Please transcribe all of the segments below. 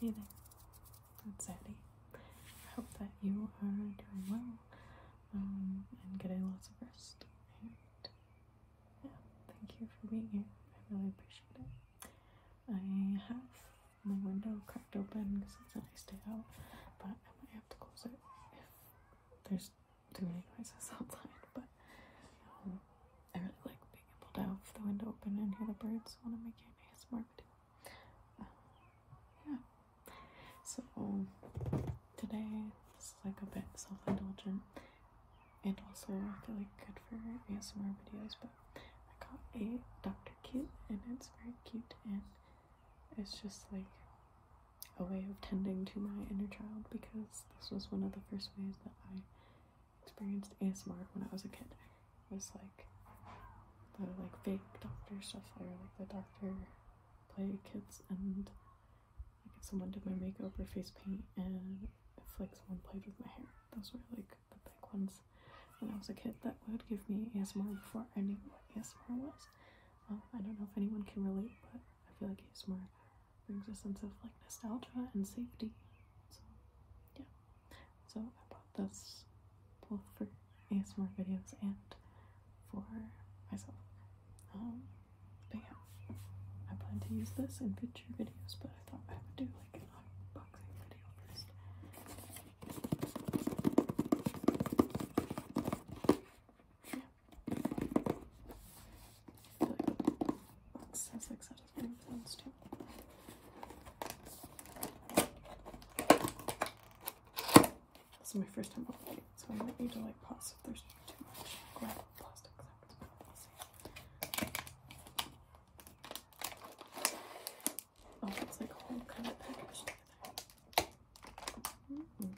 Hey there, that's Eddie. I hope that you are doing well um, and getting lots of rest. And yeah, thank you for being here. I really appreciate it. I have my window cracked open because it's a nice day out, but I might have to close it if there's too many noises outside, but um, I really like being able to have the window open and hear the birds So I'm make an ASMR video. Um, yeah. So today is like a bit self-indulgent and also I feel like good for ASMR videos, but I got a Dr. Kit and it's very cute and it's just like a way of tending to my inner child because this was one of the first ways that I experienced ASMR when I was a kid. It was like the like fake doctor stuff where like the doctor play kids and like if someone did my makeup or face paint and if one someone played with my hair. Those were like the big ones when I was a kid that would give me ASMR before I ASMR was. Well, I don't know if anyone can relate, but I feel like more brings a sense of like nostalgia and safety. So, yeah. So I bought this both for ASMR videos and for myself. Um, but I plan to use this in future videos, but I thought I would do like an unboxing video first. Says This is my first time opening so I might need to pause if there's too much grab plastic. Oh, it's like a whole kind of package together. -hmm.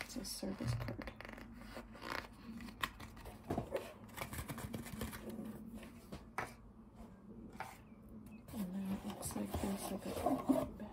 It's a service card. And then it looks like there's a back.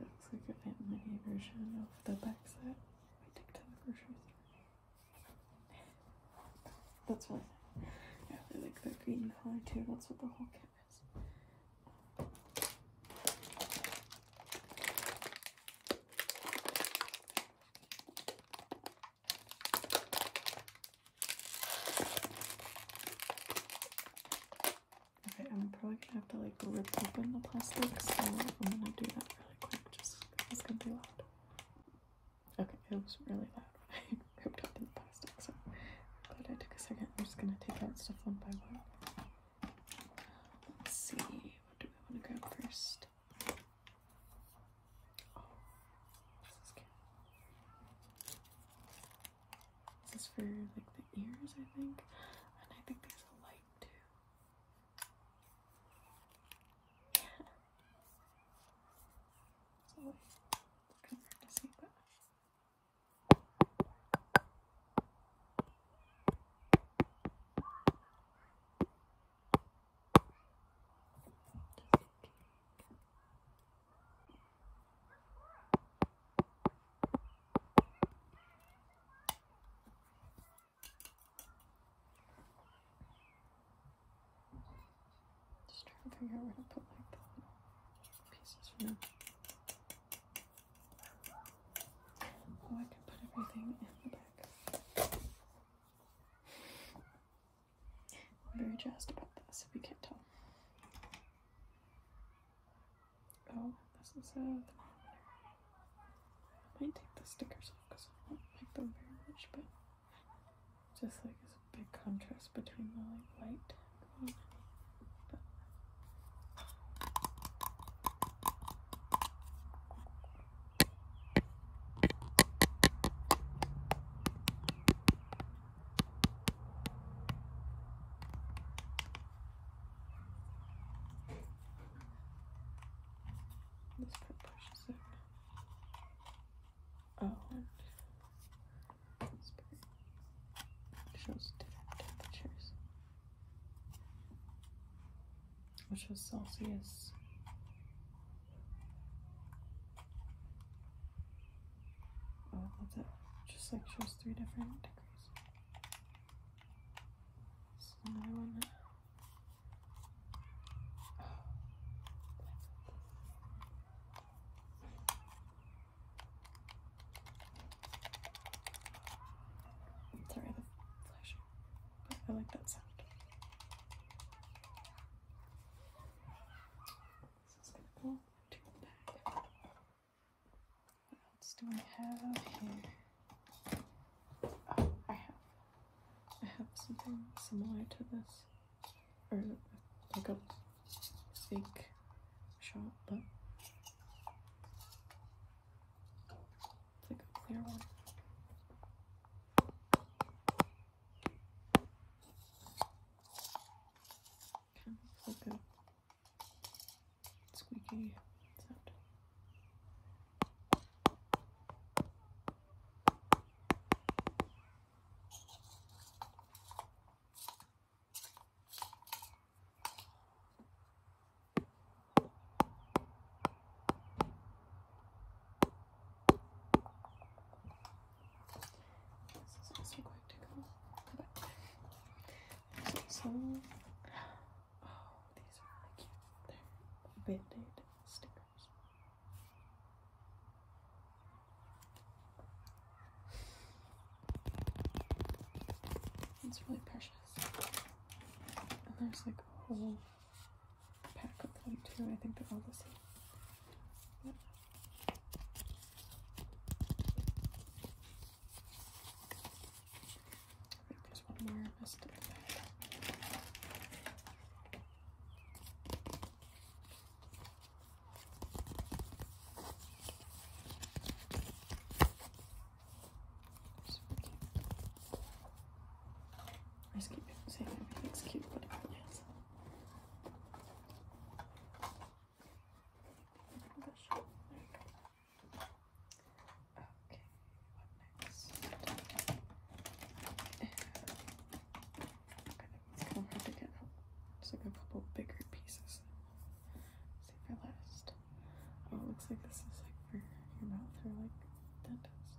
Looks like a family version of the back we took to the grocery store. That's what I like the green color too. That's what the whole kit is. Okay, I'm probably gonna have to like rip open the plastic, so I'm gonna do that really quick just because it's gonna be loud. Okay, it was really loud when I ripped open the plastic, so I'm glad I took a second. I'm just gonna take out stuff one by one. Let's see, what do we want to grab first? Oh, this is for like the ears, I think. And I think there's a light too. Just trying to figure out where to put my pieces Oh, I can put everything in the back. very jazzed about this if you can't tell. Oh, this is sad. I might take the stickers off because I don't like them very much, but just like it's a big contrast between the like white and but this part pushes it. Oh, this part shows different temperatures, which is Celsius. Oh, I love Just like shows three different degrees. another one. Sorry, the flashing, I like that sound. This is cool. What else do I have here? Oh, I have, I have something similar to this, or like a fake shot, but it's like a clear one. Kind of like a squeaky sound. This is also quite tickle. But there's oh, these are really cute. They're stickers. It's really precious. And there's like a whole pack of them too. I think they're all the same. There's one more messed I just keep saying everything's cute, but it is. Okay, what next? It's like a couple bigger pieces. Save for last. Oh, it looks like this is like for your mouth or like dentist.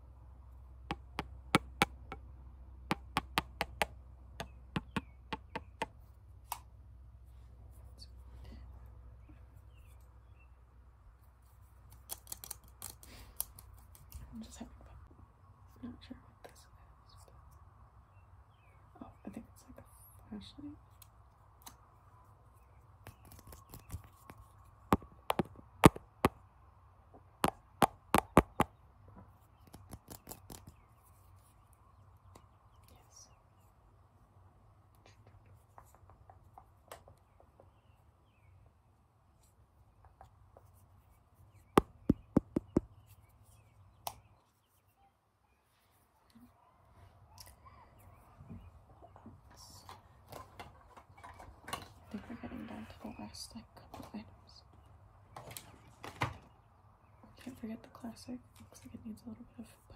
I'm just having fun. I'm not sure what this is. But... Oh, I think it's like a flashlight. Yes. We're getting down to the last step classic Can't forget the classic. Looks like it needs a little bit of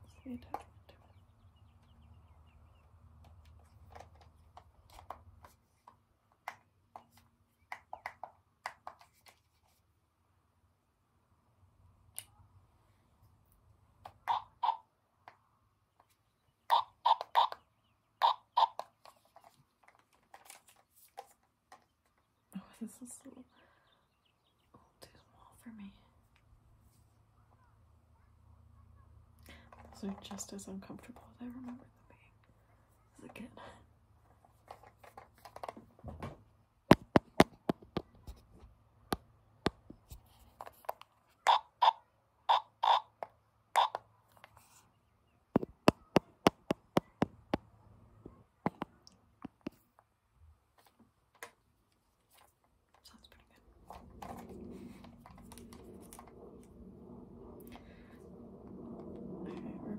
putting together. Oh, this is so too small for me. Those are just as uncomfortable as I remember them being as a kid. Sounds pretty good. I remember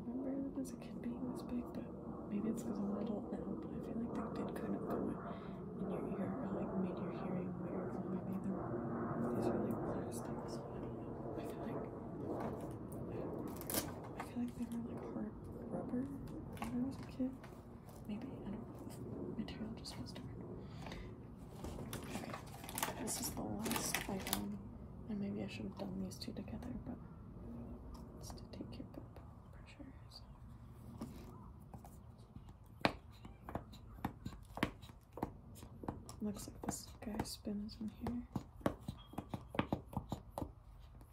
them as a kid being this big, but maybe it's because I'm an adult now, but I feel like that did kind of go in your ear or like made your hearing weird, or maybe they are these really plastic, so I don't know. I feel like I feel like they were like hard rubber when I was a kid. Maybe I don't know. Material just feels different. This is the last item, and maybe I should have done these two together, but it's to take your pip pressure. So. Looks like this guy spin is in here.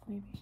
Maybe.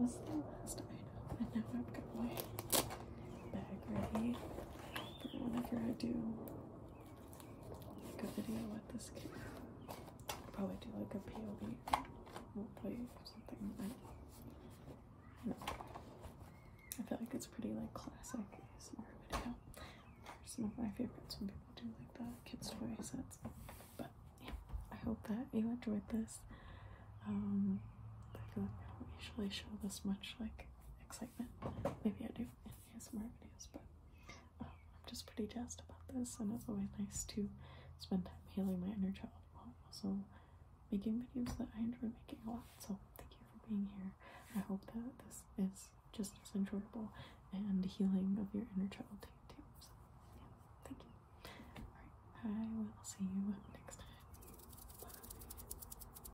This whole set. That was the last item, and now I've got my bag ready for whenever I do Make a video with this kid. i probably do like a POV roleplay or something like that. No. I feel like it's pretty like classic some of my favorites when people do like the kids toys sets. But yeah, I hope that you enjoyed this. Um I feel like I don't usually show this much like excitement. Maybe I do and more videos, but um, I'm just pretty jazzed about this, and it's always nice to spend time healing my inner child while also making videos that I enjoy making a lot. So thank you for being here. I hope that this is just as enjoyable and healing of your inner child too. So thank you. Alright, I will see you next time. Bye.